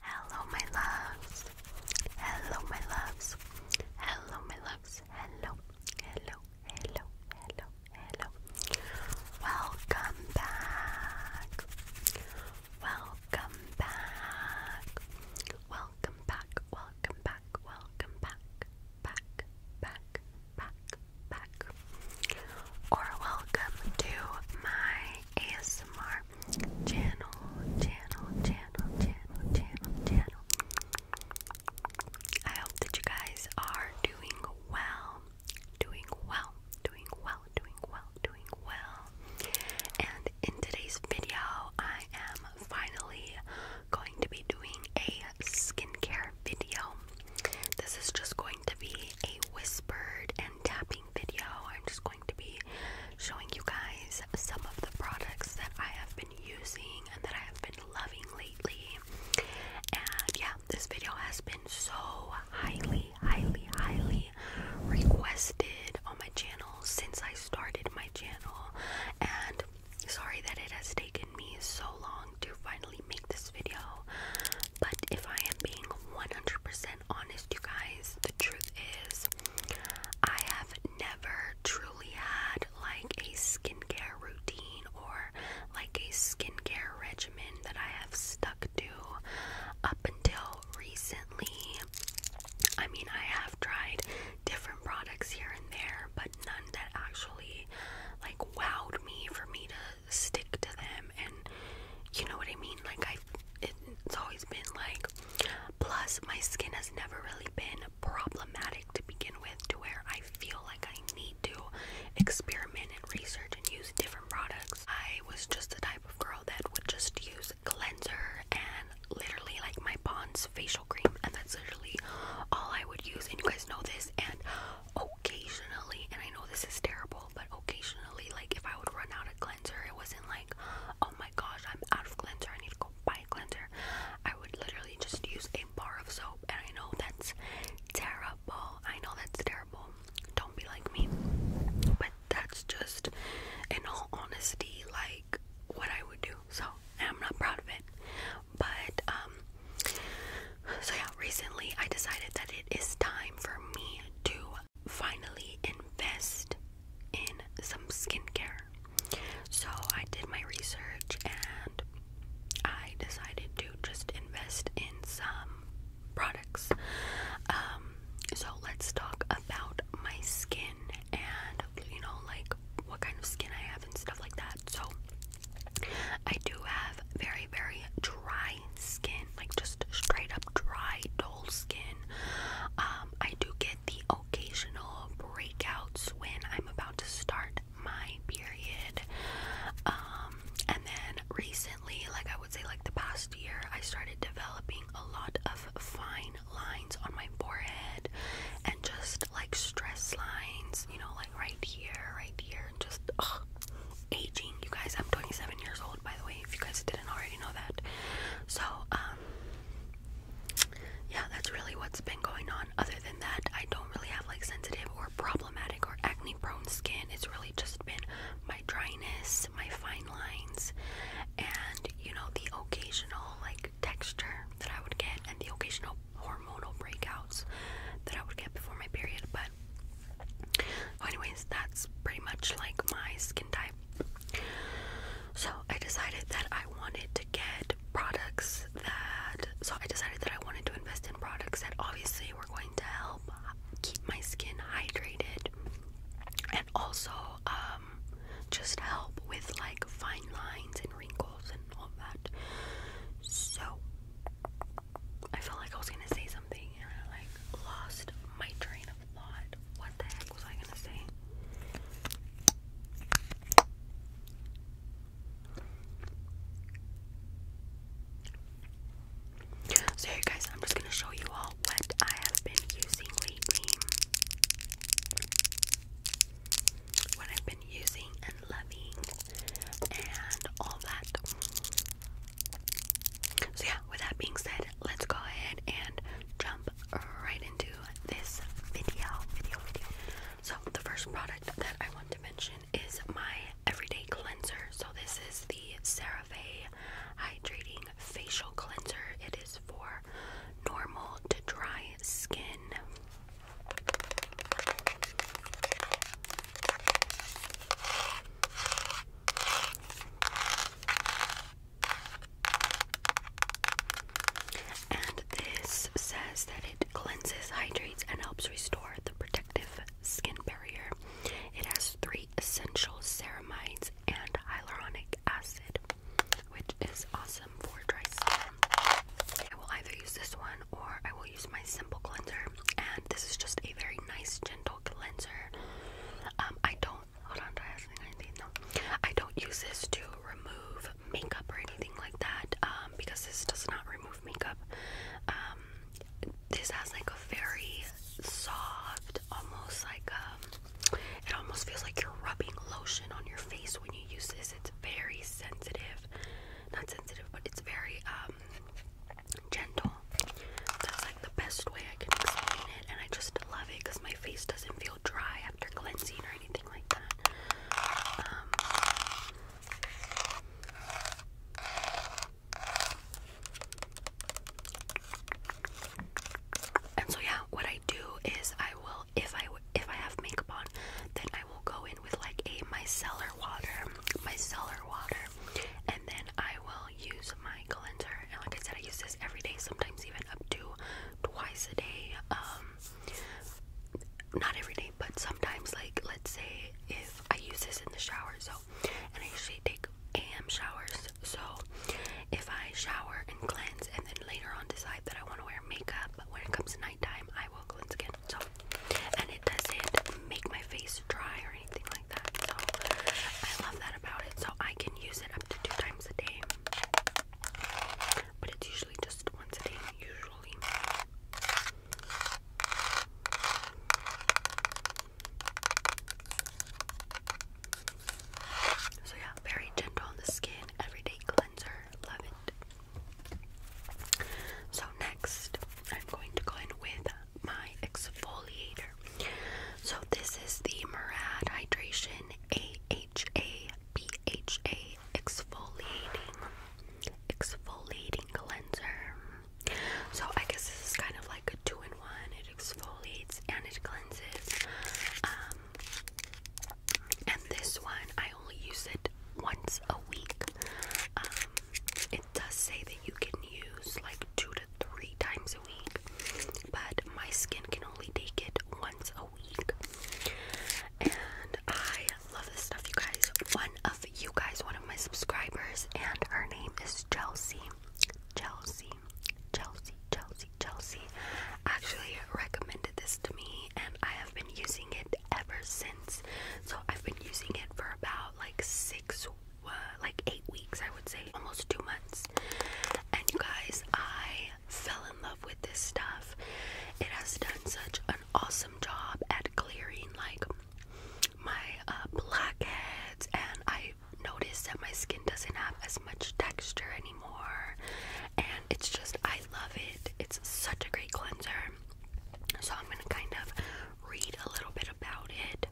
Hello, my loves. Hello, my loves. Hello, my loves. Hello, hello, hello, hello, hello. Welcome back. Welcome back. Welcome back. Welcome back. Welcome back. Back, back, back, back. Or welcome to my ASMR channel, channel, channel, channel, channel, channel. I hope that you guys are doing well, doing well, doing well, doing well, doing well. And in today's video, I am finally going to be doing a skincare video. This is just going to be a whispered and tapping video. I'm just going going to be showing you guys some of the products that I have been using and that I have been loving lately. And yeah, this video has been so highly, highly, highly requested on my channel since I started my channel. And sorry that it has taken me so long to finally make this video, but if I am being 100% honest you guys, the truth is, I have never truly had like a skincare routine or like a skincare regimen that I have stuck to up until recently. I mean, I have tried different products here and there, but none that actually like wowed me for me to stick to them and you know what I mean? Like I it, it's always been like Plus, my skin has never really been problematic to begin with, to where I feel like I need to experiment and research and use different products. I was just the type of girl that would just use cleanser and literally like my Bond's facial cream, and that's literally all I would use. And you guys know this, and occasionally, and I know this is terrible, but occasionally, like if I would run out of cleanser, it wasn't like oh my gosh, I'm out of cleanser. I need to go buy a cleanser. I would literally just use a bar of soap, and I know that's terrible. I know that's terrible. Don't be like me. But that's just, in all honesty, like what I would do. So I'm not proud of it. But, um, so yeah, recently I decided that it is time for me to finally invest in some skincare. So I did my research and I decided to just invest in some products. Um, so let's talk about my skin and you know, like what kind of skin I have and stuff like that. So I do have very, very dry skin, like just straight up dry, dull skin. Um, I do get the occasional breakouts when I'm about to start my period. Um, and then recently, like I would say, like the past year, I started developing a lot of fine lines on my forehead and just like stress lines, you know, like right here, right here, just ugh, aging. You guys, I'm 27 years old, by the way, if you guys didn't already know that. So, um, yeah, that's really what's been going on. Other than that, I don't really have like sensitive or problematic or acne prone skin. It's really just been my dryness, my fine lines, and you know, the occasional like texture that I would get and the occasional hormonal breakouts that I would get before my period. But, anyways, that's pretty much like my skin type. So I decided that I wanted to get products that so I decided that I wanted to invest in products that obviously were going to help keep my skin hydrated and also um, just help with like fine lines and wrinkles and all that. So I felt like I was gonna say something. What the heck was I gonna say? So here guys, I'm just gonna show you all what I have been using lately. What I've been using and loving and all that. So, yeah, with that being said, let's go ahead and jump right into this video. So, the first product that I want to mention is my everyday cleanser. So, this is the CeraVe Hydrating Facial Cleanser. It is for normal to dry skin. And this says that it cleanses, hydrates, and helps restore the protective skin barrier. It has three essential ceramides and hyaluronic acid, which is awesome for dry skin. I will either use this one or I will use my simple cleanser. And this is just a very nice, gentle cleanser. Um, I don't Hold on, I I don't use this to remove makeup or anything like that um, because this does not remove makeup. Um, this has like a very soft, almost like um, it almost feels like you're rubbing lotion on your face when you use this. It's very sensitive, not sensitive, but it's very um, gentle. That's like the best way I can explain it, and I just love it because my face doesn't feel dry after cleansing or anything like that. Um, and so yeah, what I do is I will, if I if I have makeup on, then I will go in with like a micellar water, micellar water, and then I will use my cleanser, and like I said, I use this every day, sometimes even up to twice a day. Um, not every day, but sometimes, like let's say if I use this in the shower, so and I usually take AM showers, so if I shower and cleanse, and then later on decide that I want to wear makeup, but when it comes to nighttime, I will cleanse again. So, and it doesn't make my face dry or anything like that. So I love that about it. So I can use it up to two times a day. But it's usually just once a day, usually. So yeah, very gentle on the skin, everyday cleanser. Love it. So next, I'm going to go in with my exfoliator. So this is the Murad Hydration AHA BHA exfoliating exfoliating cleanser. So I guess this is kind of like a two-in-one. It exfoliates and it cleanses. Um, and this one I only use it once a week. Um, it does say that you can use like two to three times times a week, but my skin can only take it once a week. And I love this stuff, you guys. One of you guys, one of my subscribers, and her name is Chelsea. Chelsea, Chelsea, Chelsea, Chelsea actually recommended this to me, and I have been using it ever since. So I've been using it for about like six like eight weeks, I would say, almost two months. And you guys, I fell in love with this stuff. It has done such an awesome job at clearing like my uh, blackheads, and I noticed that my skin doesn't have as much texture anymore. And it's just, I love it. It's such a great cleanser. So I'm gonna kind of read a little bit about it.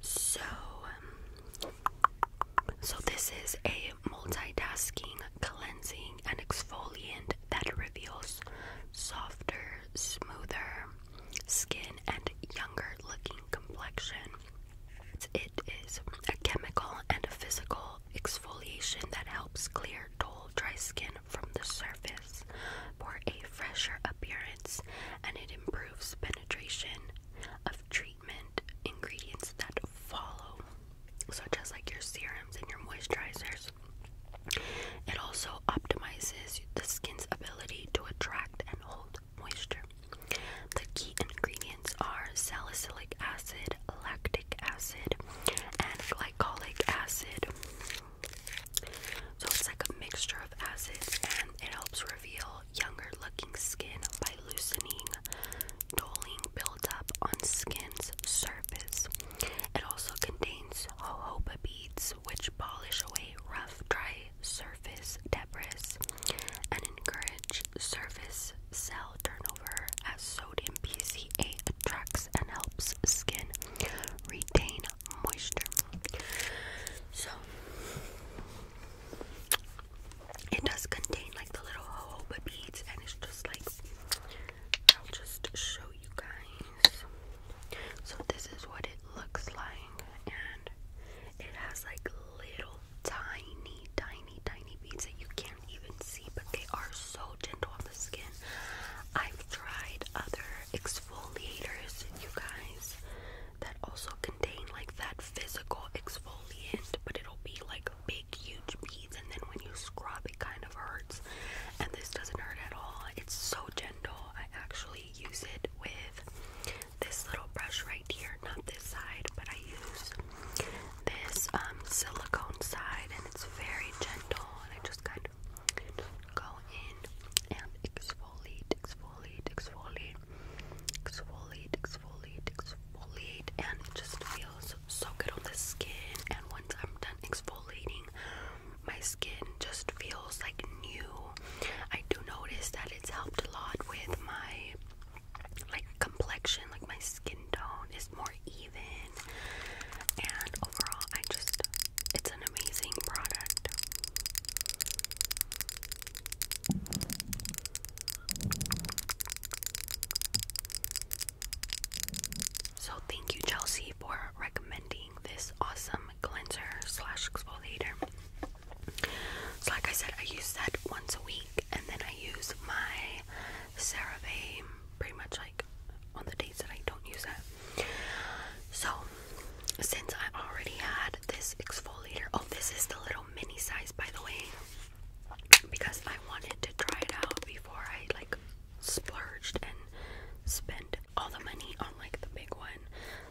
So um, so, this is a multitasking, cleansing, and exfoliant that reveals softer, smoother skin and younger looking complexion. It is a chemical and a physical exfoliation that helps clear dull, dry skin from the surface for a fresher appearance and it improves penetration, of treatment ingredients that follow, such as like your serums and your moisturizers. It also optimizes the skin's ability to attract and hold moisture. The key ingredients are salicylic acid, lactic acid, and glycolic acid. So it's like a mixture of acids and it helps reveal younger looking skin by loosening doling buildup on skin's surface. It also contains jojoba beads, which polish away rough, dry surface debris and encourage surface cell turnover as sodium PCA attracts and helps skin retain moisture. So, it does contain like the little jojoba beads, and it's just like I'll just show you guys. So this is what it looks like, and it has like little tiny, tiny, tiny beads that you can't even see, but they are so gentle on the skin. I've tried other exfoliators, you guys, that also contain like that physical exfoliant, but it'll be like big, huge beads, and then when you scrub, it kind of hurts. And this doesn't hurt at all, it's so gentle. I actually use it with this little brush right here, not this side, but I use this um, silicone side, and it's very gentle. And I just kind of go in and exfoliate, exfoliate, exfoliate exfoliate, exfoliate, exfoliate, and it just feels so good on the skin. And once I'm done exfoliating, my skin just feels like new. I do notice that it's helped a lot with my like complexion, like my skin tone is more even. And overall, I just it's an amazing product. So thank you Chelsea for recommending this awesome cleanser slash exfoliator. So like I said, I use that once a week and then I use my CeraVe pretty much like on the days that I don't use it. So since I already had this exfoliator. Oh, this is the little mini size, by the way, because I wanted to try it out before I like splurged and spent all the money on like the big one.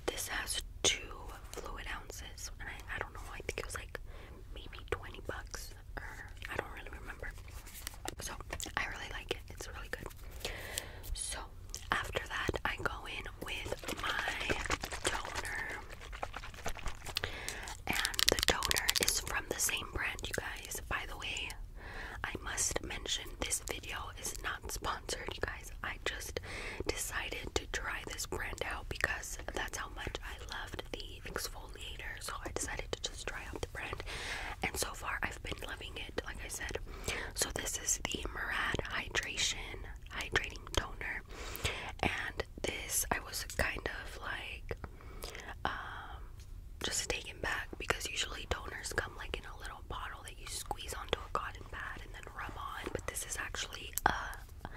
This has two fluid ounces, and I, don't know, I think it was like maybe 20 bucks, or I don't really remember. So, I really like it, it's really good. So, after that, I go in with my toner. And the toner is from the same brand, you guys. By the way, I must mention this video is not sponsored, you guys. I just decided to try this brand out because that's how much I loved the exfoliator. So I decided to just try out the brand. And so far, I've been loving it, like I said. So this is the Murad Hydration Hydrating Toner and this I was kind of like um just taken back because usually toners come like in a little bottle that you squeeze onto a cotton pad and then rub on but this is actually a uh,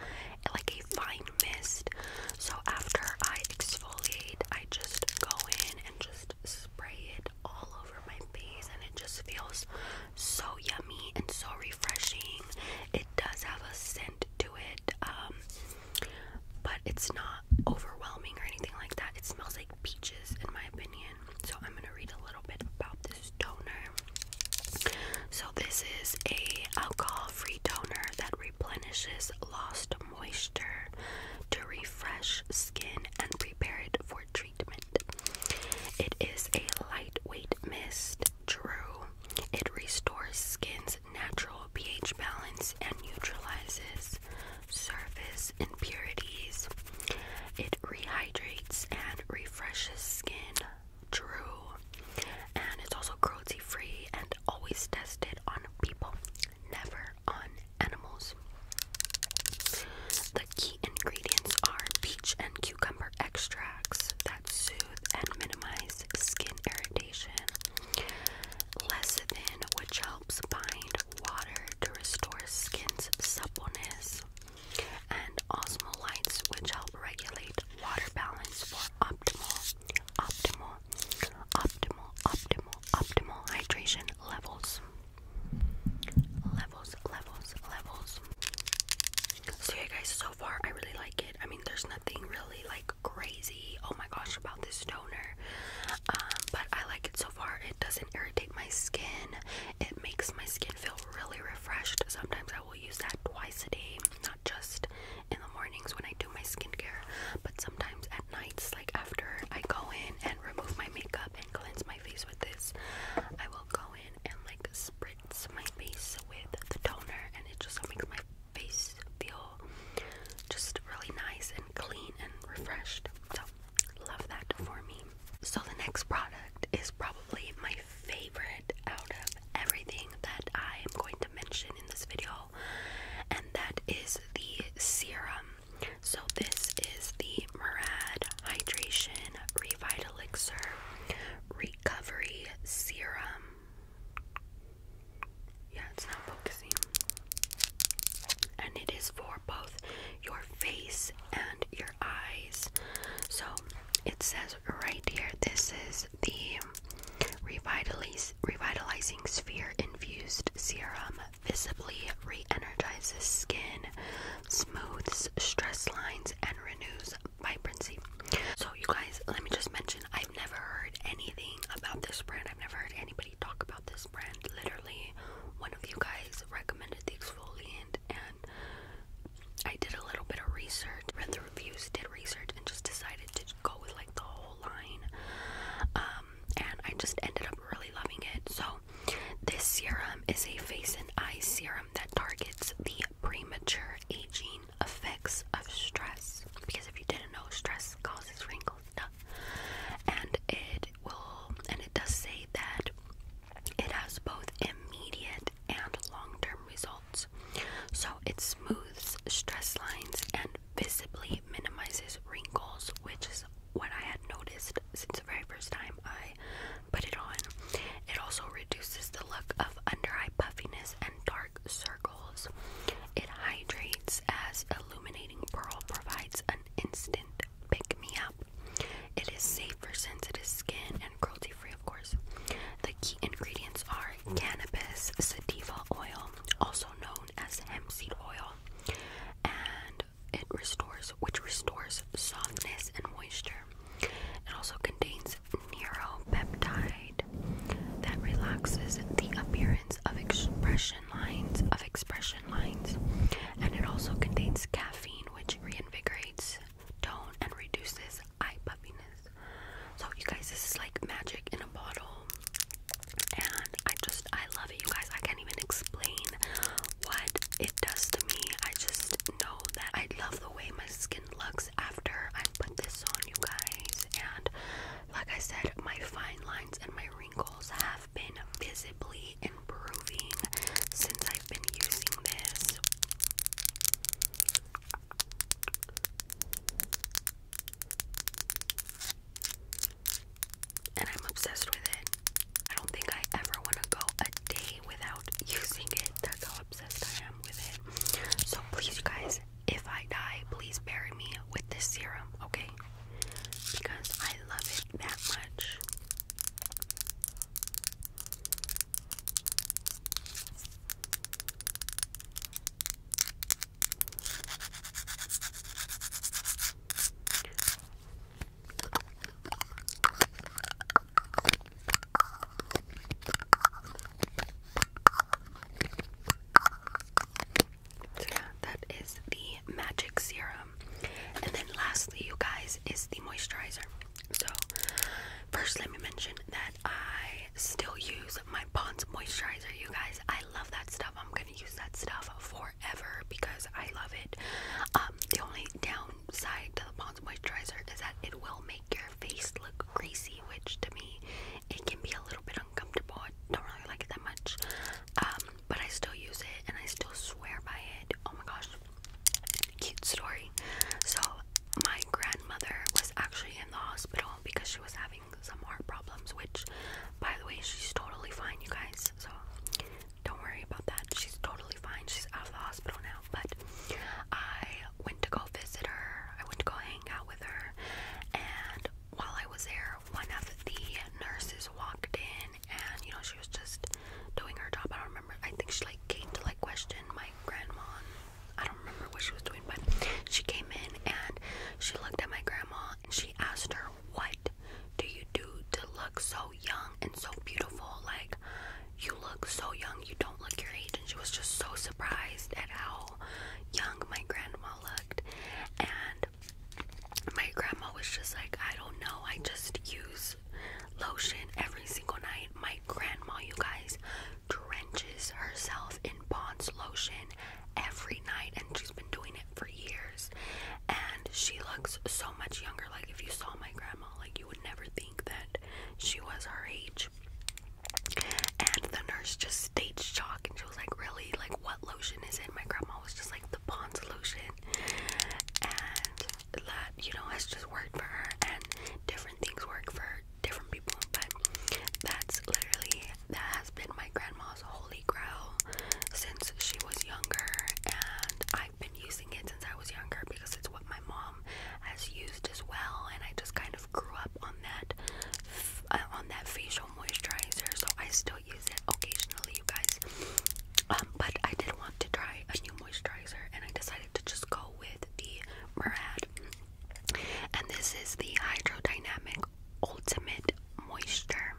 like a fine mist so after I exfoliate I just go in and just spray it all over my face and it just feels so yummy and so refreshing. It does have a scent to it, um, but it's not overwhelming or anything like that. It smells like peaches, in my opinion. So, I'm gonna read a little bit about this toner. So, this is a alcohol-free toner that replenishes lost moisture to refresh skin and prepare it for treatment. It is a lightweight mist, true. It restores skin's natural pH balance and neutralizes surface impurities. It rehydrates and refreshes skin, true. And it's also cruelty free and always tested on people, never on animals. The key ingredients are peach and cucumber extracts that soothe and minimize skin irritation. Lecithin, which helps bind water to restore skin's suppleness, and osmolites, which help regulate water balance for optimal, optimal, optimal, optimal, optimal hydration levels. Levels, levels, levels. So yeah guys, so far I really like it. I mean there's nothing really like crazy, oh my gosh, about this toner. Um, but I like it so far. It doesn't irritate my skin. It makes my skin feel really refreshed. Sometimes I will use that twice a day, not just in the mornings when I do my skincare, but sometimes at nights, like after I go in and remove my makeup and cleanse my face with this, I will go in and like spritz my face with the toner, and it just makes my face feel just really nice and clean and refreshed. So, love that for me. So, the next product is probably my favorite out of everything that I am going to mention in this video, and that is the serum. So, this is the Murad Hydration Revive Elixir. Recovery Serum. Yeah, it's not focusing. And it is for both your face and your eyes. So it says right here this is the Revitalize, Revitalizing Sphere Infused Serum. Visibly re energizes skin, smooths stress lines, and renews vibrancy. So you guys, let me just mention I've never heard anything about this brand. I've never heard anybody talk about this brand. Literally, one of you guys recommended the exfoliant and I did a little bit of research, read the reviews, did research and just decided to go with like the whole line. Um and I just ended up really loving it. So this serum is a face and eye serum that targets the premature aging effects of stress. Because if you didn't know, stress causes wrinkles, and it will, and it does say that it has both immediate and long-term results. So it smooths stress lines and visibly minimizes wrinkles, which is what I had noticed since the very first time I put it on. It also reduces the look of under eye puffiness and dark circles. It hydrates as illuminating pearl provides an instant pick me up. It is safe for sensitive skin and cruelty free, of course. The key ingredients are cannabis sativa oil, also known as hemp seed oil, and it restores, which restores softness and moisture. It also contains neuropeptide that relaxes the appearance of expression lines of expression lines, and it also contains caffeine, which reinvigorates tone and reduces eye puffiness. So you guys, this is like magic in a bottle, and I just I love it. You guys, I can't even explain what it does to me. I just know that I love the way my skin looks after I put this on, you guys. And like I said, my fine lines and my wrinkles have been visibly improving since I've been using this. And I'm obsessed with it. I don't think I ever want to go a day without using it. That's how obsessed I am with it. So please, you guys, if I die, please bury me with this serum, okay? Because I love it that much. That is the magic serum. And then lastly, you guys, is the moisturizer. So first let me mention that I still use my Pond's moisturizer, you guys. I love that stuff. I'm gonna use that stuff forever because I love it. Um the only down downside to the Pond's moisturizer is that it will make your face look greasy, which to me it can be a little bit uncomfortable. I don't really like it that much. Um, but I still use it and I still swear by it. Oh my gosh. Cute story. So my grandmother was actually in the hospital because she was having some heart problems, which by the way she's totally fine you guys, so don't worry about that. She's totally fine. She's out of the hospital now but I went to go visit her. I went to go hang out with her, and while I was there, one of the nurses walked in, and you know she was just doing her job. I don't remember. I think she like came to like question my grandma. I don't remember what she was doing, but she came in and she looked at my grandma and she asked her, "What do you do to look so young and so beautiful? Like, you look so young, you don't look your age. And she was just so surprised at how young my grandma looked. And my grandma was just like, I don't know, I just use lotion every single night. My grandma, you guys, drenches herself in Bond's lotion every night, and she's been doing it for years. And she looks so much younger. Like, if you saw my grandma, like, you would never think that she was her age. And the nurse just states shock and she was like, Really? Like, what lotion is it? My grandma was just like, The Pond's lotion. And that, you know, has just worked for her. And different things work for different people. But that's literally, that has been my grandma's holy grail since she was younger. And I I've been using it since I was younger because it's what my mom has used as well, and I just kind of grew up on that uh, on that facial moisturizer. So I still use it occasionally, you guys. Um, but I did want to try a new moisturizer, and I decided to just go with the Murad. And this is the Hydrodynamic Ultimate Moisture.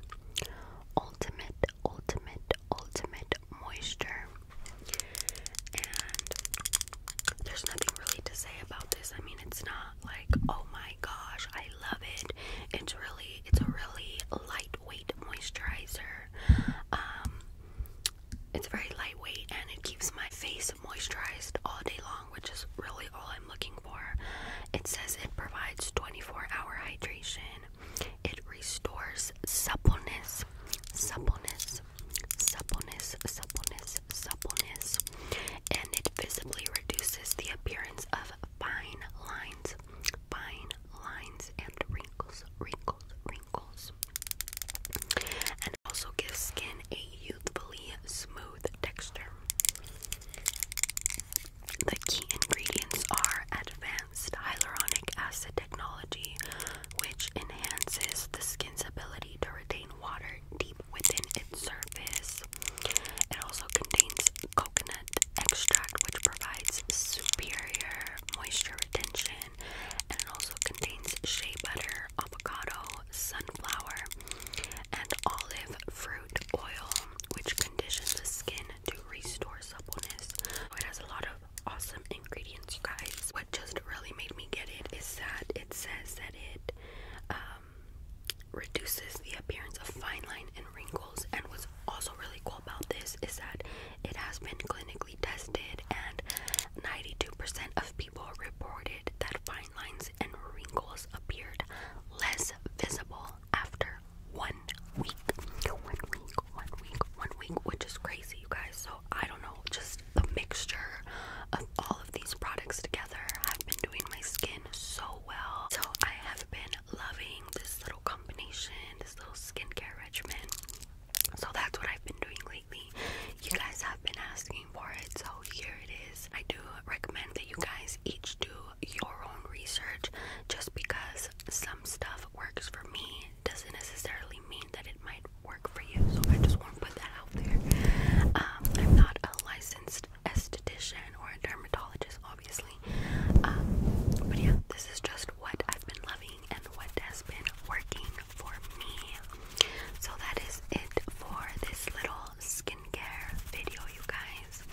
Ultimate, ultimate, ultimate moisture. And there's nothing really to say about this. I mean, it's not like, oh my gosh, I love it. It's really, it's a really lightweight moisturizer. Um, it's very lightweight and it keeps my face moisturized all day long, which is really all I'm looking for. It says it provides 24 hour hydration, it restores suppleness, suppleness suppleness, suppleness, suppleness, and it visibly reduces the appearance of fine lines, fine lines, and wrinkles, wrinkles, wrinkles, and also gives skin a youthfully smooth texture. The key ingredients are advanced hyaluronic acid technology, which enhances the skin's ability to retain water deep within its surface. It also contains coconut extract, which provides superior moisture retention, and it also contains shea butter, avocado, sunflower, and olive fruit oil, which condition the skin to restore suppleness. it has a lot of awesome ingredients, guys just really made me get it is that it says that it um, reduces the appearance of fine lines and wrinkles. And what's also really cool about this is that it has been clinically tested, and 92% of people reported that fine lines and wrinkles appeared less visible after one week. One week, one week, one week, which is crazy, you guys. So I don't know, just the mixture of all of these products together have been doing my skin so well. So I have been loving this little combination, this little skincare regimen. So that's what I've been doing lately. You guys have been asking for it, so here it is. I do recommend that you guys each do your own research just because some stuff works for me doesn't necessarily mean that it might work for you. So I just want to put that out there. Um, I'm not a licensed esthetician or a dermatologist, obviously. Um, but yeah, this is just what I've been loving and what has been working for me. So that is it for this little skincare video, you guys.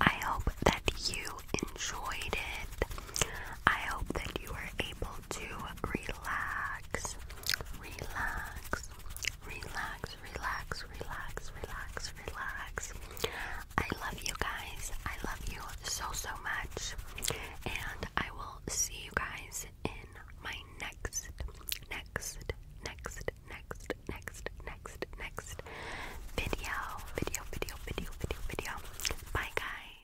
I hope that you enjoyed it. I hope that you were able to relax, relax, relax, relax, relax, relax, relax. I love you guys. I love you so, so much. And I will see you guys in my next, next, next, next, next, next, next video. Video, video, video, video, video. Bye, guys.